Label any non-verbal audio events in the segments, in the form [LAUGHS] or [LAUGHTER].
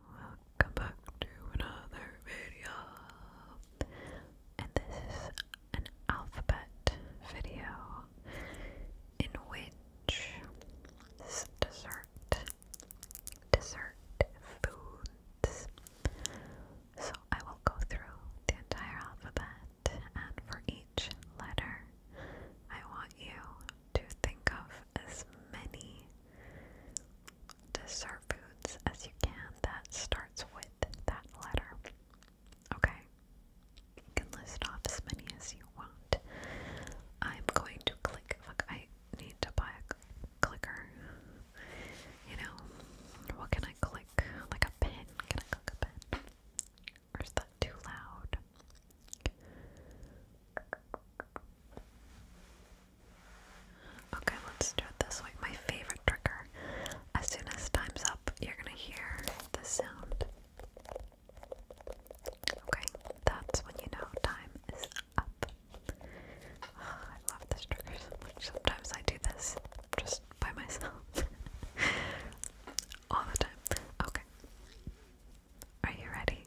Welcome back to another video. And this is an alphabet video in which dessert, dessert foods. So I will go through the entire alphabet and for each letter I want you to think of as many dessert foods as you can that starts with that letter. Okay? You can list off as many as you want. I'm going to click. Look, I need to buy a clicker. You know, what can I click? Like a pen? Can I click a pen? is that too loud? Okay, let's do it this way. My favorite trigger. As soon as time's up, you're gonna hear the sound. Okay, that's when you know time is up. Ah, I love this trigger Sometimes I do this just by myself. [LAUGHS] All the time. Okay. Are you ready?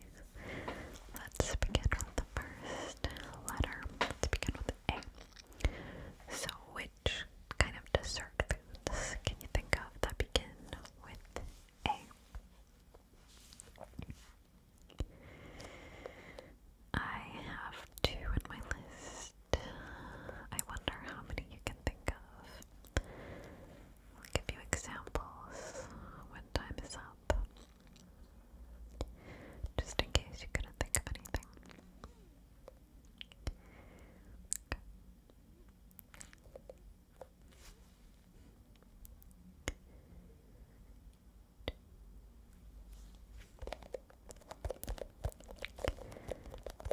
Let's begin with the first letter. Let's begin with A. So, which kind of dessert foods can you think of that begin with A? I have two in my list. I wonder how many you can think of. I'll give you examples when time is up. Just in case you couldn't think of anything.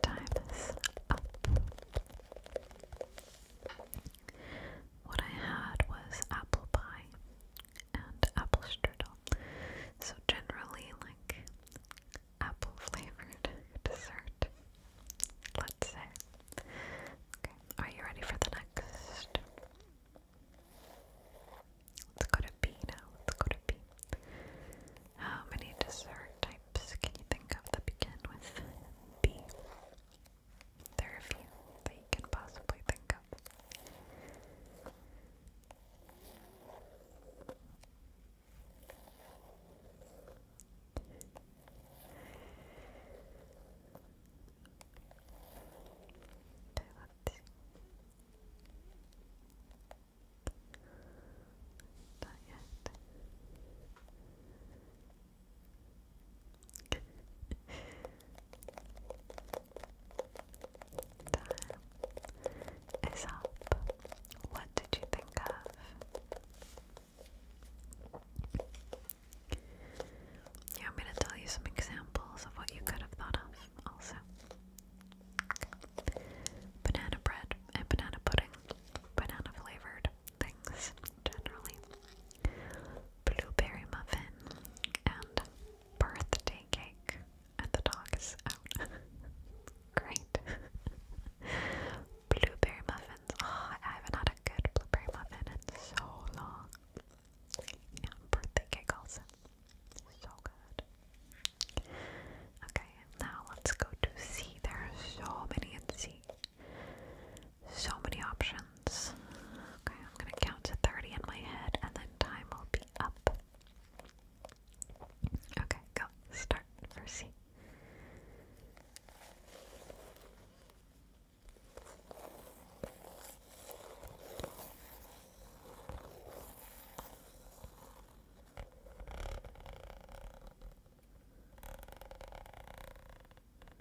Time is up. What I had was apple pie and apple strudel. So generally like apple flavored [LAUGHS] dessert. Let's say. Okay, are you ready for the next? Let's go to B now. Let's go to B. How many dessert types can you think of that begin with B? There are few that you can possibly think of. Okay, let's see. Not yet. Time What did you think of? Yeah, I'm going to tell you some examples of what you could have thought of also. Banana bread and eh, banana pudding, banana flavored things generally blueberry muffin, and birthday cake. And the dog is out. [LAUGHS] Great. blueberry muffins. Oh, I haven't had a good blueberry muffin in so long. birthday cake also. So good. Okay, now let's go to C. There are so many in C. So many options. Okay, I'm gonna count to 30 in my head and then time will be up. Okay, go. Start for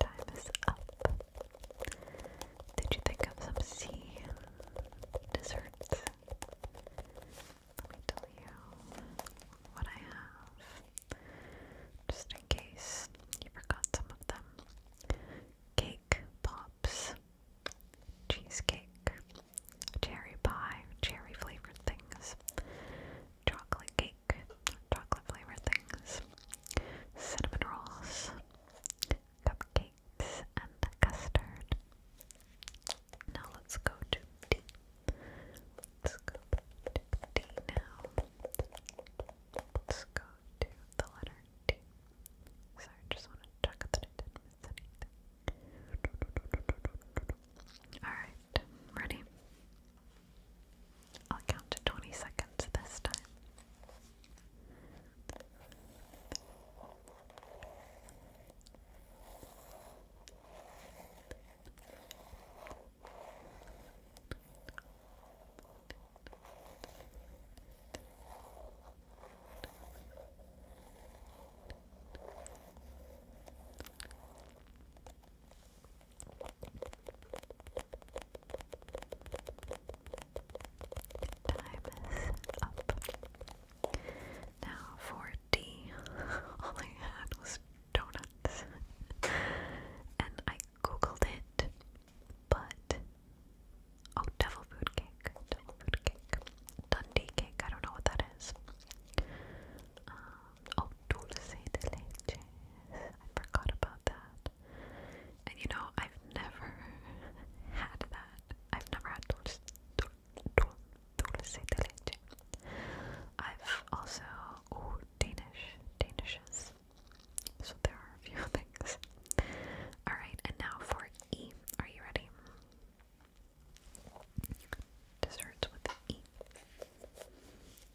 Time is up. Did you think of some sea desserts? Let me tell you what I have. Just in case you forgot some of them. Cake pops, cheesecake, cherry pie, cherry flavored things, chocolate cake chocolate flavor things, cinnamon rolls, cupcakes, and custard. Now let's go to D. Let's go to D now. Let's go to the letter D. Sorry, just want to check that I didn't Alright, Alright, ready? I'll count to 20 seconds this time. Time is up. Now for D, [LAUGHS] all I had was donuts. and I googled it, but. Oh, devil food cake. Devil food cake. Dundee cake. I don't know what that is. Um, Oh, dulce de leche. I forgot about that. And you know, I've never had that. I've never had dulce, dul, dul, dulce de leche. I've also, oh, Danish, Danishes. So there are a few [LAUGHS] things. Alright, and now for E. Are you ready? Desserts with E.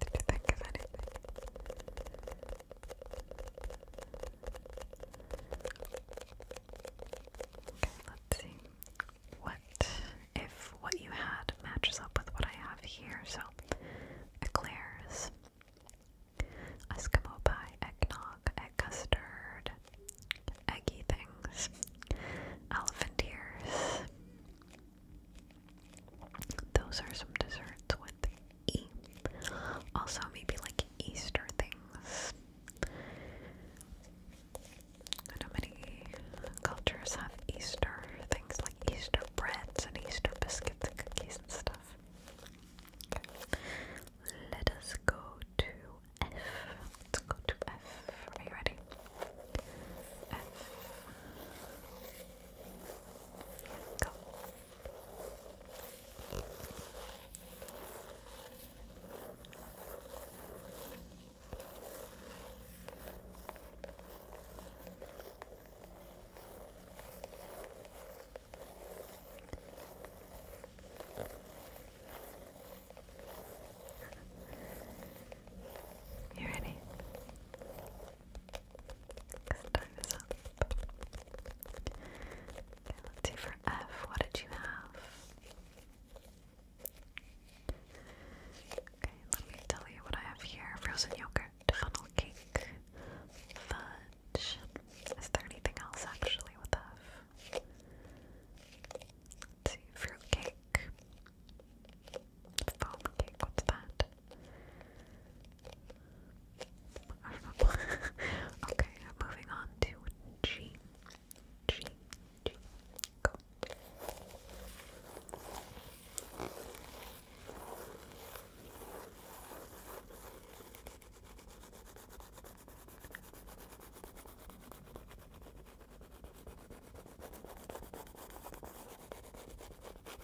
Did you think of anything? Okay, let's see. What if what you had matches up with what I have here? So, eclairs, Eskimo pie, eggnog, egg custard, eggy things, elephant ears, those are some desserts with E. Also, maybe like Easter things. I many cultures have Easter things like Easter breads and Easter biscuits and cookies and stuff. Let us go to F. Let's go to F. Are you ready? F. Go. You ready? Okay, let's see for F. What did you have? Okay, let me tell you what I have here. Frozen yogurt, funnel cake, fudge. Is there anything else actually with F? see, fruit cake, Foam cake, what's that? I do [LAUGHS] moving on to G. G. Go. Time is up.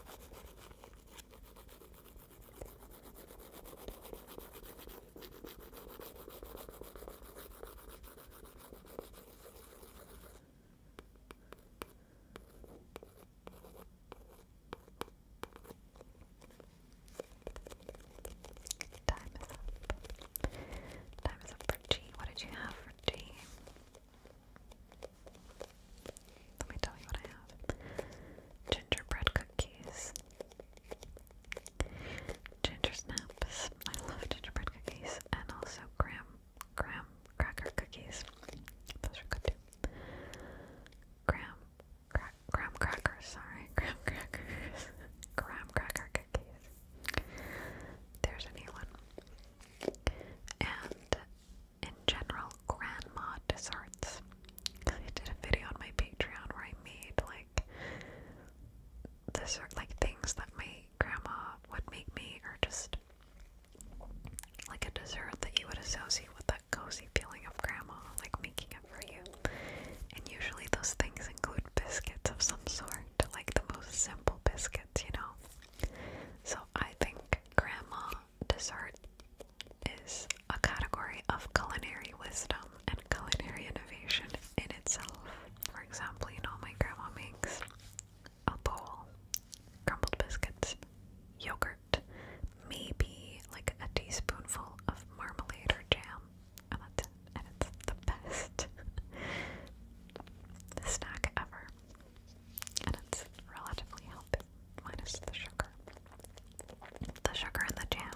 Time is up for tea. What did you have for tea? Let me tell you what I have gingerbread cookies, ginger I love gingerbread cookies, and also graham, graham cracker cookies. Those are good too. Graham, cra graham crackers. Sorry, [LAUGHS] graham crackers. graham cracker cookies. There's a one. And in general grandma desserts. Cause I did a video on my Patreon where I made like dessert, like things that my grandma would make me, or just like a dessert that you would associate with that cozy feeling of grandma, like making it for you. And usually those things include biscuits of some sort, like the most simple biscuits, you know. So I think grandma dessert is a category of culinary wisdom and culinary innovation in itself. For example, you know, my grandma makes a bowl, crumbled biscuits, yogurt, maybe like a teaspoonful of marmalade or jam, and it's the best [LAUGHS] snack ever. And it's relatively healthy, minus the sugar. The sugar and the jam.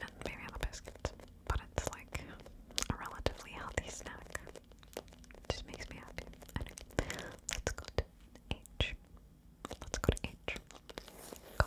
And maybe the biscuits. But it's like a relatively healthy snack. Just makes me happy. Anyway, let H. Let's go to H. Go.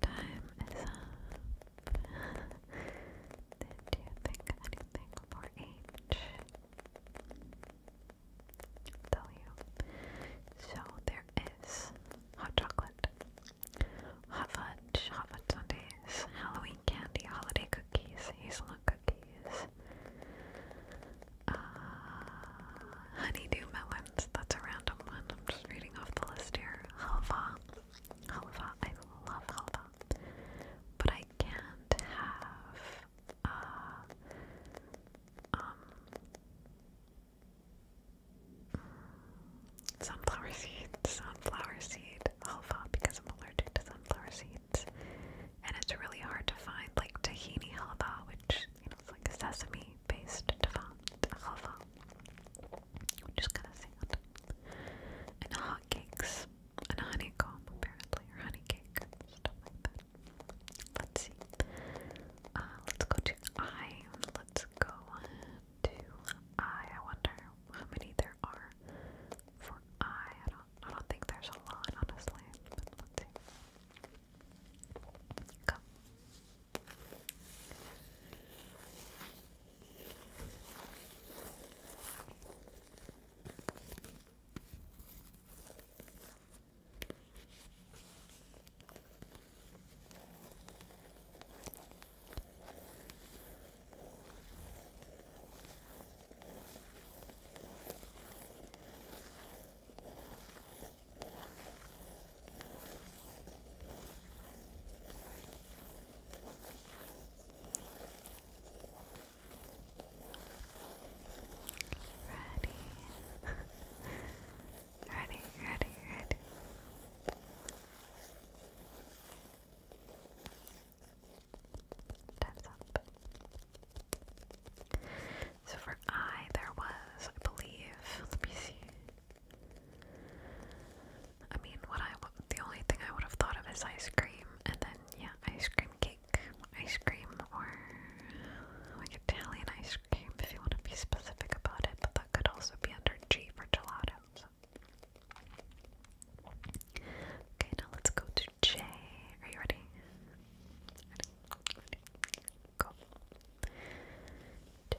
Time is up. [LAUGHS] Did you think anything for each? tell you. So there is hot chocolate. Hot fudge, hot fudge Halloween candy, holiday cookies, hazelnut cookies, uh, honeydew melons. That's a random one. I'm just reading off the list here. Halva, halva. I love halva, but I can't have uh, um, Sunflower seeds, sunflower seeds halva because I'm allergic to sunflower seeds. And it's really hard to find like tahini halva, which you know, it's like a sesame based halva, which is kind of sad. And hotcakes, and honeycomb apparently, or honey cake, stuff like that. Let's see. Uh, let's go to I. Let's go to I. I wonder how many there are for I. I don't, I don't think there's a lot, honestly. let's see. Come. [LAUGHS] ready, ready, ready. Time's up. So for I, there was, I believe, let me see. I mean, what I the only thing I would have thought of is ice cream, and then yeah, ice cream cake, ice cream, or like Italian ice cream if you want to be specific about it. But that could also be under G for gelato. Okay, now let's go to J. Are you ready? Go. J.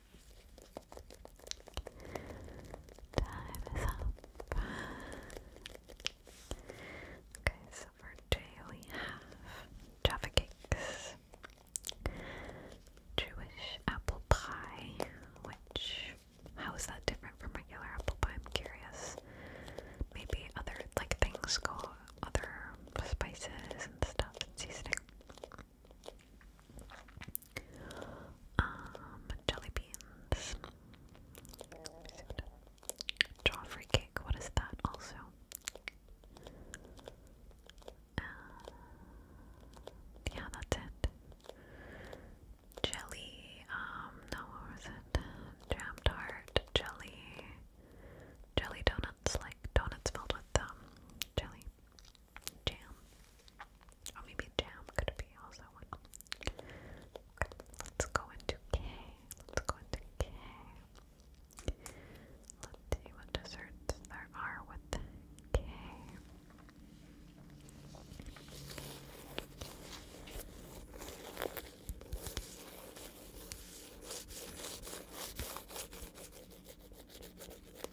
Time is up. Okay, so for today we have Java cakes, Jewish apple pie, which how is that different from regular apple pie? I'm curious. Maybe other like things go other spices and stuff seasoning. Um, jelly beans. Joffrey cake, what is that also? Uh, yeah, that's it. Jelly, um, no, what was it? Jam tart, jelly, jelly donuts, like donuts filled with, um, jelly. Jam. Or maybe jam could be also one. Okay, let's go into K. Let's go into K. Let's see what desserts there are with K.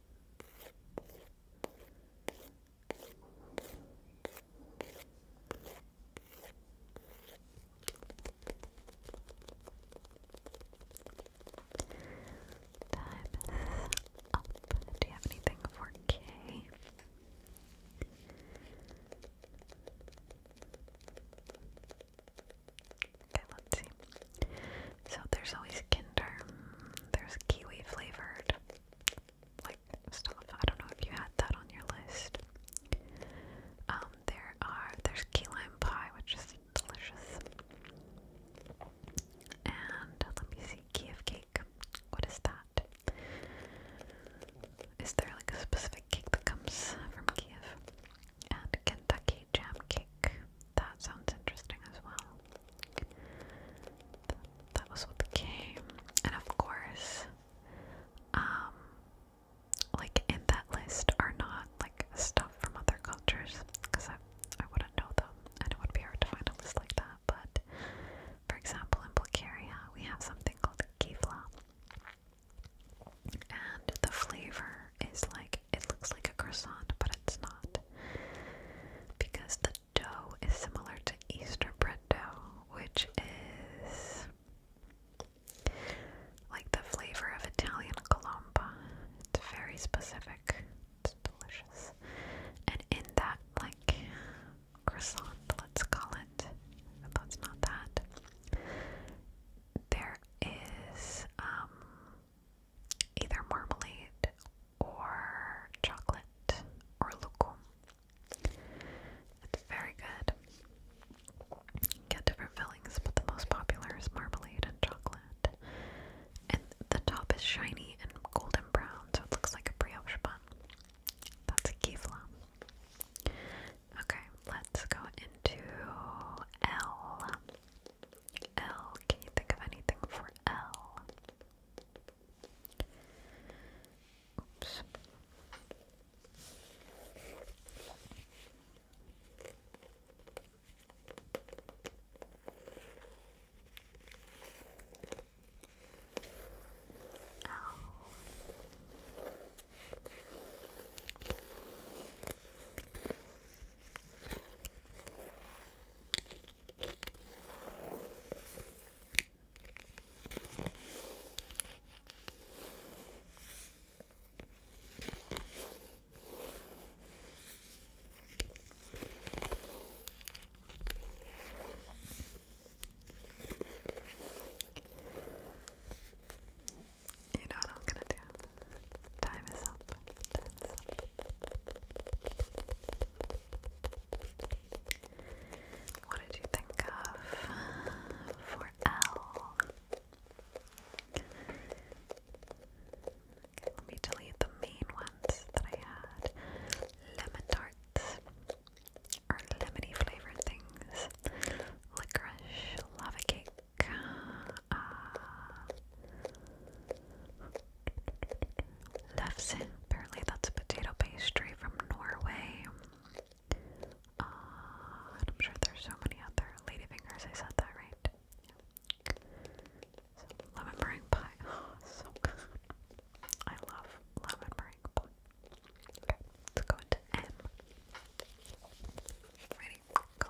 Time is up. Do you have anything for K? Okay, let's see. So there's always Kinder. There's kiwi flavored, like stuff. I don't know if you had that on your list. Um, there are there's key lime pie, which is delicious. And let me see, key cake. What is that? Is there like a specific cake that comes from Kiev? And Kentucky jam cake. That sounds interesting as well that was what came. And of course, um, like in that list are not like stuff from other cultures because I, I wouldn't know them and it would be hard to find a list like that. But for example, in Bulgaria, we have something called kivla, and the flavor is like it looks like a croissant, but it's not because the dough is similar to Easter bread dough, which is like the flavor of Italian colomba. It's very specific. It's delicious. And in that, like, croissant, let's call it, but that's not that, there is, um, either marmalade or chocolate or lokum. It's very good. get different fillings, but the most popular is marmalade and chocolate. And the top is shiny and golden brown, so it looks like a brioche bun. That's a kifla. Okay, let's go into L. L. Can you think of anything for L? Oops. L. You know what I'm gonna do? Time is up. What did you think of for L? let me delete the main ones that I had. Lemon tarts or lemony flavored things. Licorice, lava cake, uh, Lefse, apparently that's a potato pastry from Norway. Uh, I'm sure there's so many other ladyfingers, I said that right. lemon meringue pie. [SIGHS] Oh, so good. I love lemon meringue pie. Okay, let's go into M. Ready? Go.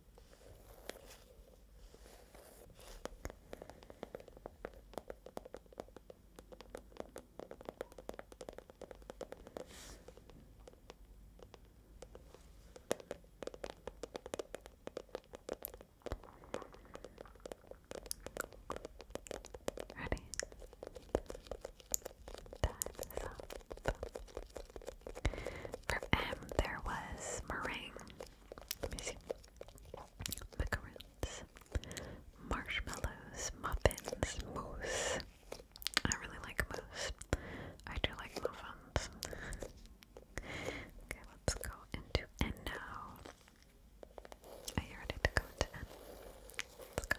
Ready? Time is up. From M there was meringue. Let me see. Macaroons, marshmallows, muffins, mousse. I really like mousse. I do like muffins. okay, let's go into N now. Are you ready to go to N? Let's go.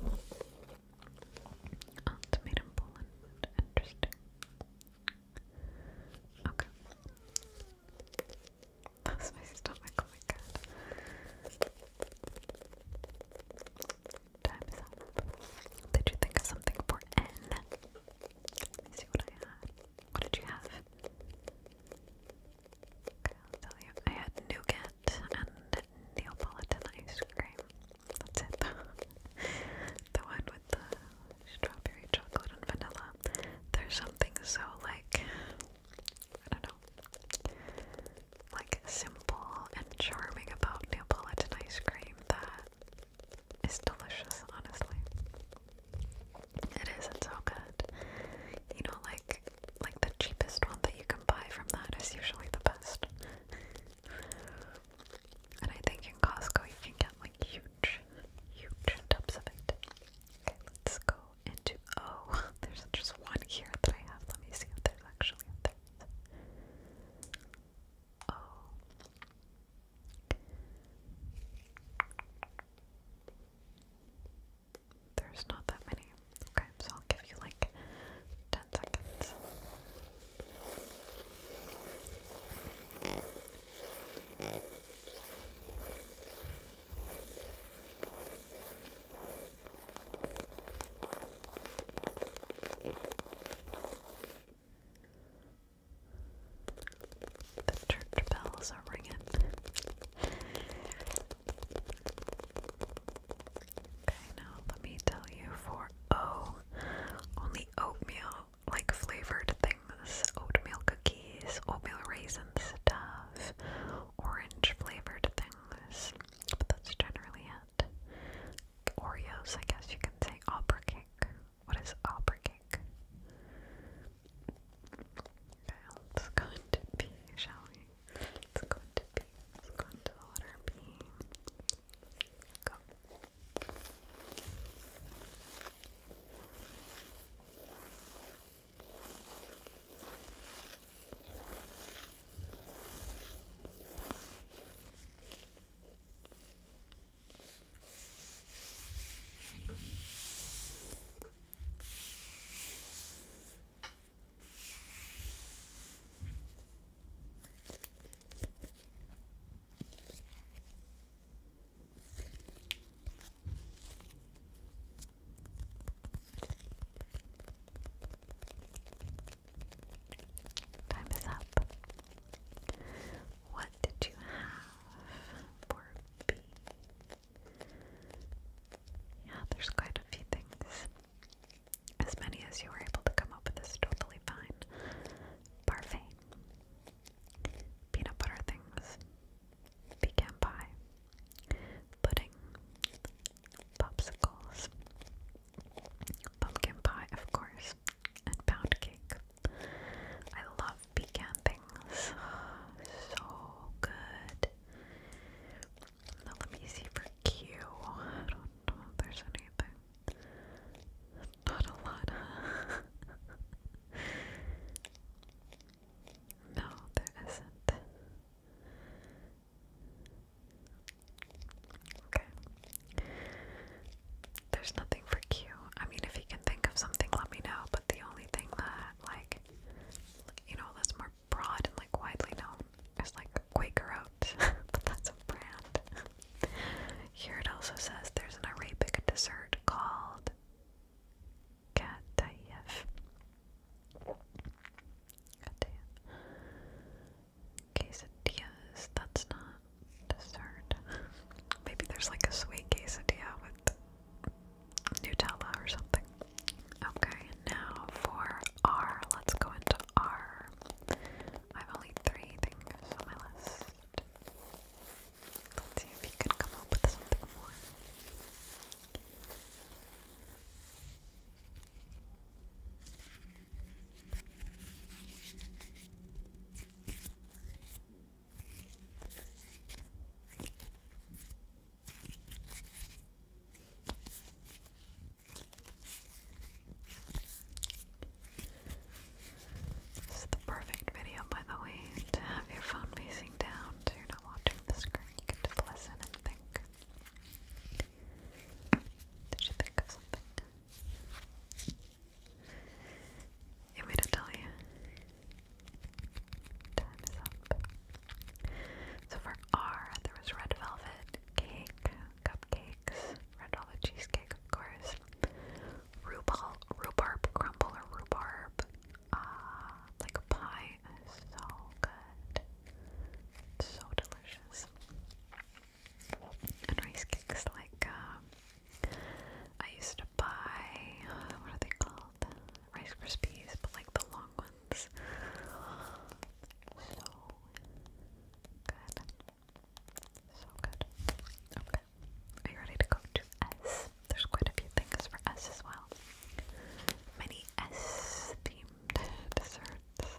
Oh, it's made in Poland. Interesting. Okay. That's my stomach, oh my god. Time is up. Did you think of something for N? see what I had. What did you have? Okay, I'll tell you. I had nougat and Neapolitan ice cream. That's it. [LAUGHS] the one with the strawberry chocolate and vanilla. There's something so like I don't know. Like simple and charming about Neapolitan ice cream that it's delicious, honestly. It is, it's so good. You know, like like the cheapest one that you can buy from that is usually the best. and I think in Costco you can get like huge, huge tubs of it. Okay, let's go into oh, [LAUGHS] there's just one here that I have. Let me see if there's actually a third. Oh, there's not that many. Okay, so I'll give you like 10 seconds. The church bells are ringing. Okay, now let me tell you for O, oh, only oatmeal, like flavored things, oatmeal cookies, oatmeal raisin stuff, orange flavored things, but that's generally it. Oreos, I guess you can say opera what is opera cake? Okay, let's go shall we? Let's go into B. Let's the letter B. Go. Time is up. What did you have? Poor bee. Yeah, there's quite a few things. As many as you were able to come up with is totally fine. Parfait. Peanut butter things. Pecan pie. Pudding. Popsicles. Pumpkin pie, of course. And pound cake. I love pecan things. [SIGHS] So good. Now let me see for Q. I don't know if there's anything. Not a lot. [LAUGHS] no, there isn't. Okay, there's nothing for Q. I mean, if you can think of something, let me know. But the only thing that, like, you know, that's more broad and like widely known is like Quaker Oats, [LAUGHS] but that's a brand. Here it also says there's an Arabic dessert called Katayev. Quesadillas, that's not dessert. Maybe there's like a sweet quesadilla with Nutella or something. Okay, now for R. Let's go into R. I have only three things on my list. Let's see if you can come up with something more. This is the perfect video, by the way, to have your phone facing down so you're not watching the screen. You can just listen and think. Did you think of something? It would tell you. Time up. So for R, there was red velvet cake, cupcakes, red velvet cheesecake, of course, rhubarb, rhubarb crumble or rhubarb, uh, like pie. so good, so delicious and rice cakes like um, I used to buy uh, what are they called? Rice Krispies, but like the long ones. So good. So good. Okay. Are you ready to go to S? There's quite a few things for S as well. Many S themed desserts.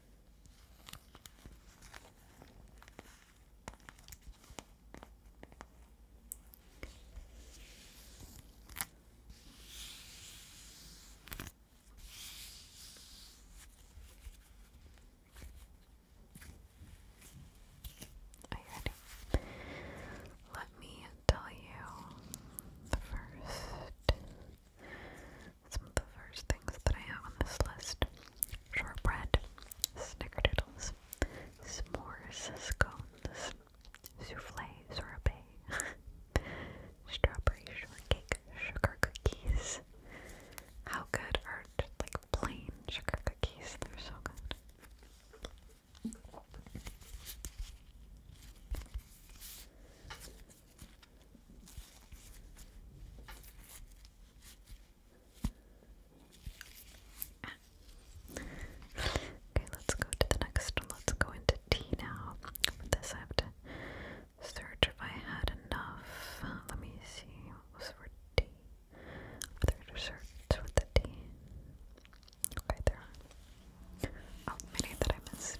Are you ready? Let me tell you first some the first things that I have on this list shortbread, snickerdoodles, s'mores, scones, souffle, sorbet, [LAUGHS] strawberry shortcake, sugar cookies. How good are like plain sugar cookies? They're so good. Okay, let's go to the next one. Let's go into tea now. this, I have to search if I had enough. let me see. What was for tea? There to search with the tea. Okay, there. Oh, many that I missed.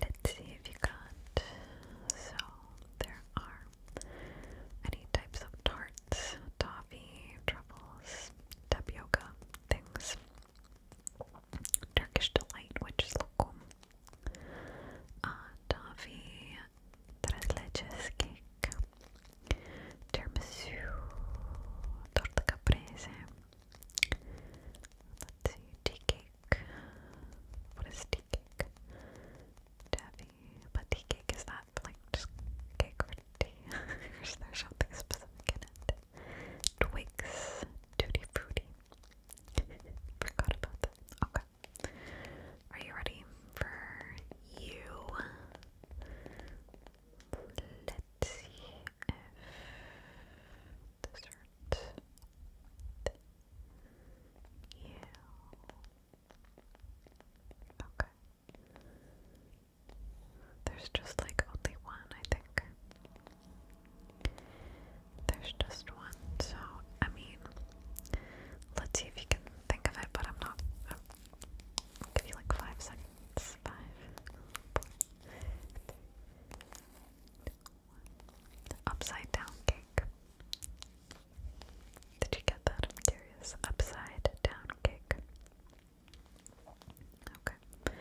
Let's see if you got. So, there are many types of tarts, toffee, truffles, tapioca, things. Turkish delight, which is lokum. Uh, toffee, tres leches cake, Tiramisu, torta caprese. Let's see, tea cake. What is tea cake? Taffy, but tea cake is that like just cake or tea? [LAUGHS] There's something specific in it. Twigs, tutti frutti. Forgot about that. Okay. Are you ready for you? Let's see if this hurts Okay. There's just like only one, I think. There's just one, so I mean, let's see if you can think of it, but I'm not. I'll give you like five seconds. It's five. Upside down cake. Did you get that? i Upside down cake. Okay.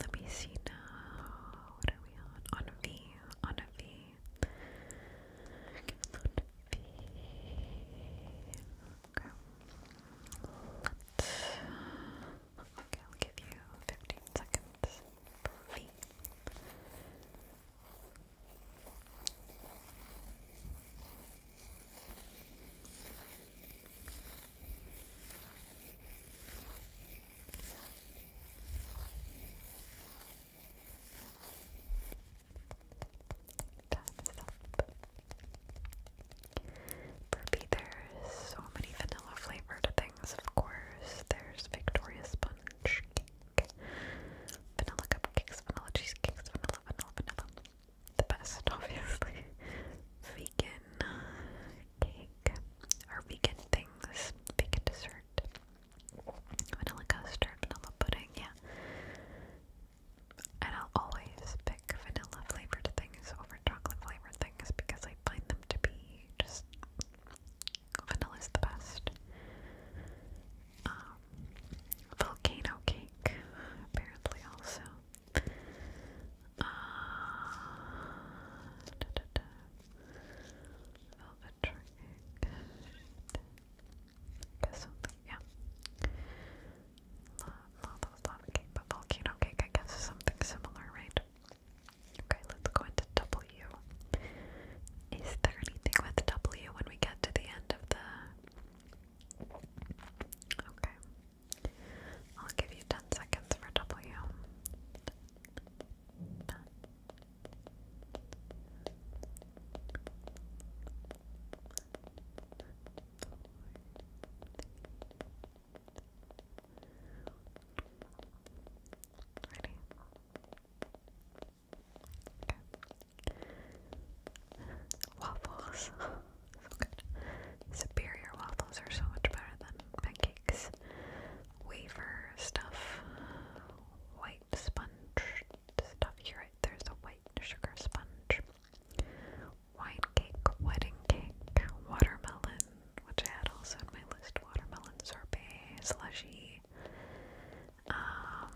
Let me see now. What are we on? a V. On a V. On V. Okay. okay, I'll give you 15 seconds Time there's so many vanilla flavored things, of course. There's Victoria Sponge Cake, Vanilla Cupcakes, Vanilla Cheesecakes, Vanilla, Vanilla, Vanilla. The best, [LAUGHS] obviously. Vegan cake, or vegan things, vegan dessert. Vanilla custard, vanilla pudding, yeah. And I'll always pick vanilla flavored things over chocolate flavored things because I find them to be just vanilla is the best. Um, volcano cake, apparently, also. Uh, da, da, da. Velvet trick. yeah. La, la, that cake, but volcano cake, I guess, something similar, right? Okay, let's go into W. Is there anything with W when we get to the end of the. Okay. I'll give you 10 seconds for W. Ready? Okay. Waffles. [LAUGHS] Superior waffles are so much better than pancakes. Waver stuff. White sponge stuff. You're right, there's a white sugar sponge wine cake, wedding cake, watermelon, which I had also on my list, watermelon sorbet, slushy, um,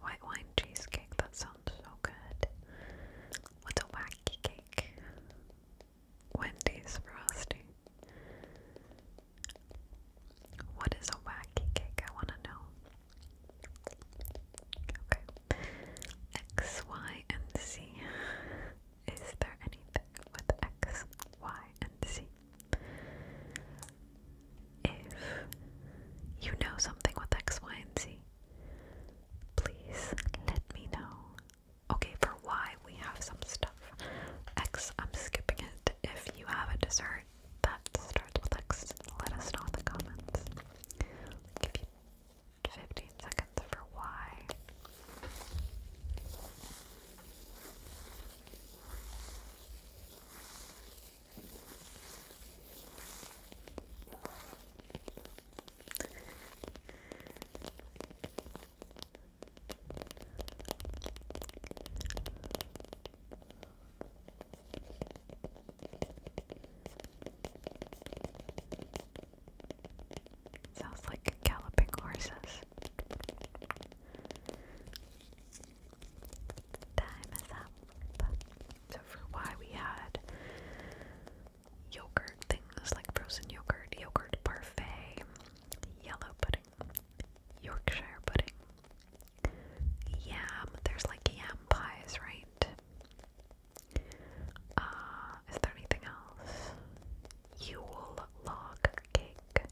white wine cheesecake, that sounds so good. What's a wacky cake? Wendy's frosting. What is a wacky cake? I want to know. Okay. X, Y, and Z. Is there anything with X, Y, and Z? If you know something with X, Y, and Z, please let me know. Okay, for Y, we have some stuff. X, I'm skipping it. If you have a dessert that starts with X, let us know in the comments. give you 15 seconds for Y. Sounds like galloping horses. Time is up. So for why we had yogurt things like frozen yogurt, yogurt parfait, yellow pudding, Yorkshire pudding, Yam. There's like yam pies, right? Uh, is there anything else? Yule log cake,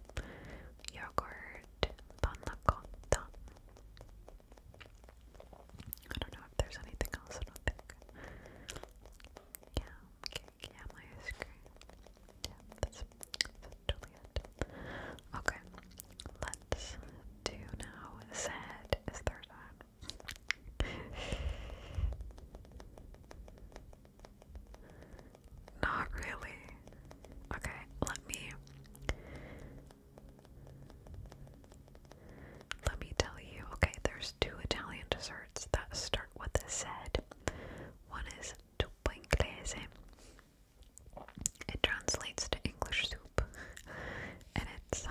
yogurt, panna cotta. I don't know if there's anything else, I cake, yam ice cream. Yeah, that's totally Okay, let's do now. Sad is third on. [LAUGHS] Not really. Okay, let me. Let me tell you. Okay, there's two Italian desserts that start with said. One is tupinglese it translates to English soup, and it's uh,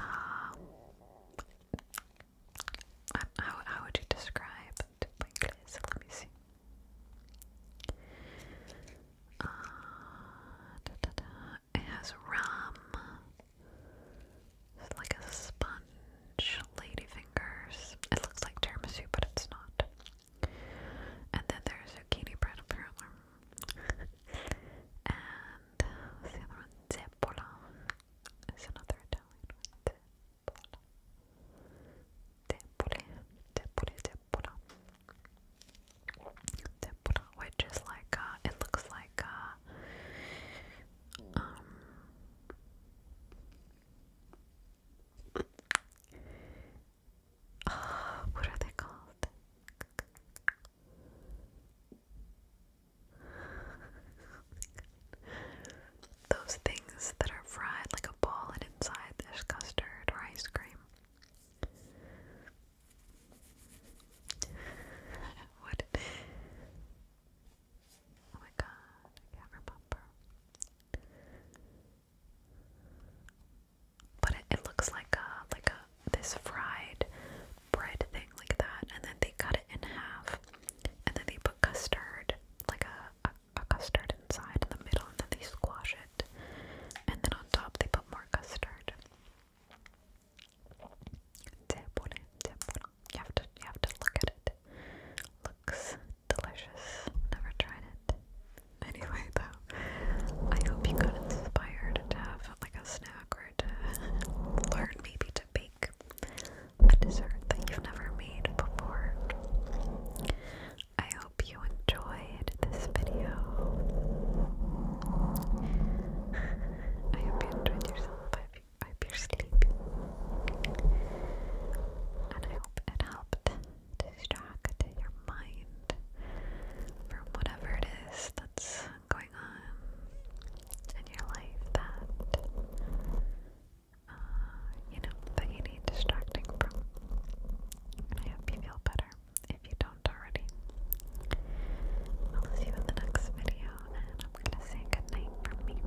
how how would you describe it in English? Let me see. Uh, It has rum, it's like a sponge, ladyfingers. It looks like tiramisu, but it's not. And then there's zucchini bread apparently. [LAUGHS] and the other one? Zeppola. It's another Italian one. Zeppola. Zeppola. Zeppola. Zeppola. Which is like, uh, it looks like, uh, um, Oh, what are they called? Those things that are fried like a ball and inside there's custard or ice cream. [LAUGHS] what? Oh my god, I can't remember. But it, looks like a like a this fried bread thing like that, and then they cut it in half, and then they put custard like a, a, custard inside the middle, and then they squash it, and then on top they put more custard. You have to you have to look at it. Looks delicious. Never tried it. Anyway, though, I hope you got inspired to have like a snack or to learn maybe to bake a dessert that you've never made before. I hope you enjoyed this video. I hope you enjoyed yourself. I hope, you, I And I hope it helped distract your mind from whatever it is that's going on in your life that uh, you know that you need distracting from. I hope you feel better if you don't already. I'll see you in the next video, and I'm gonna say goodnight from me.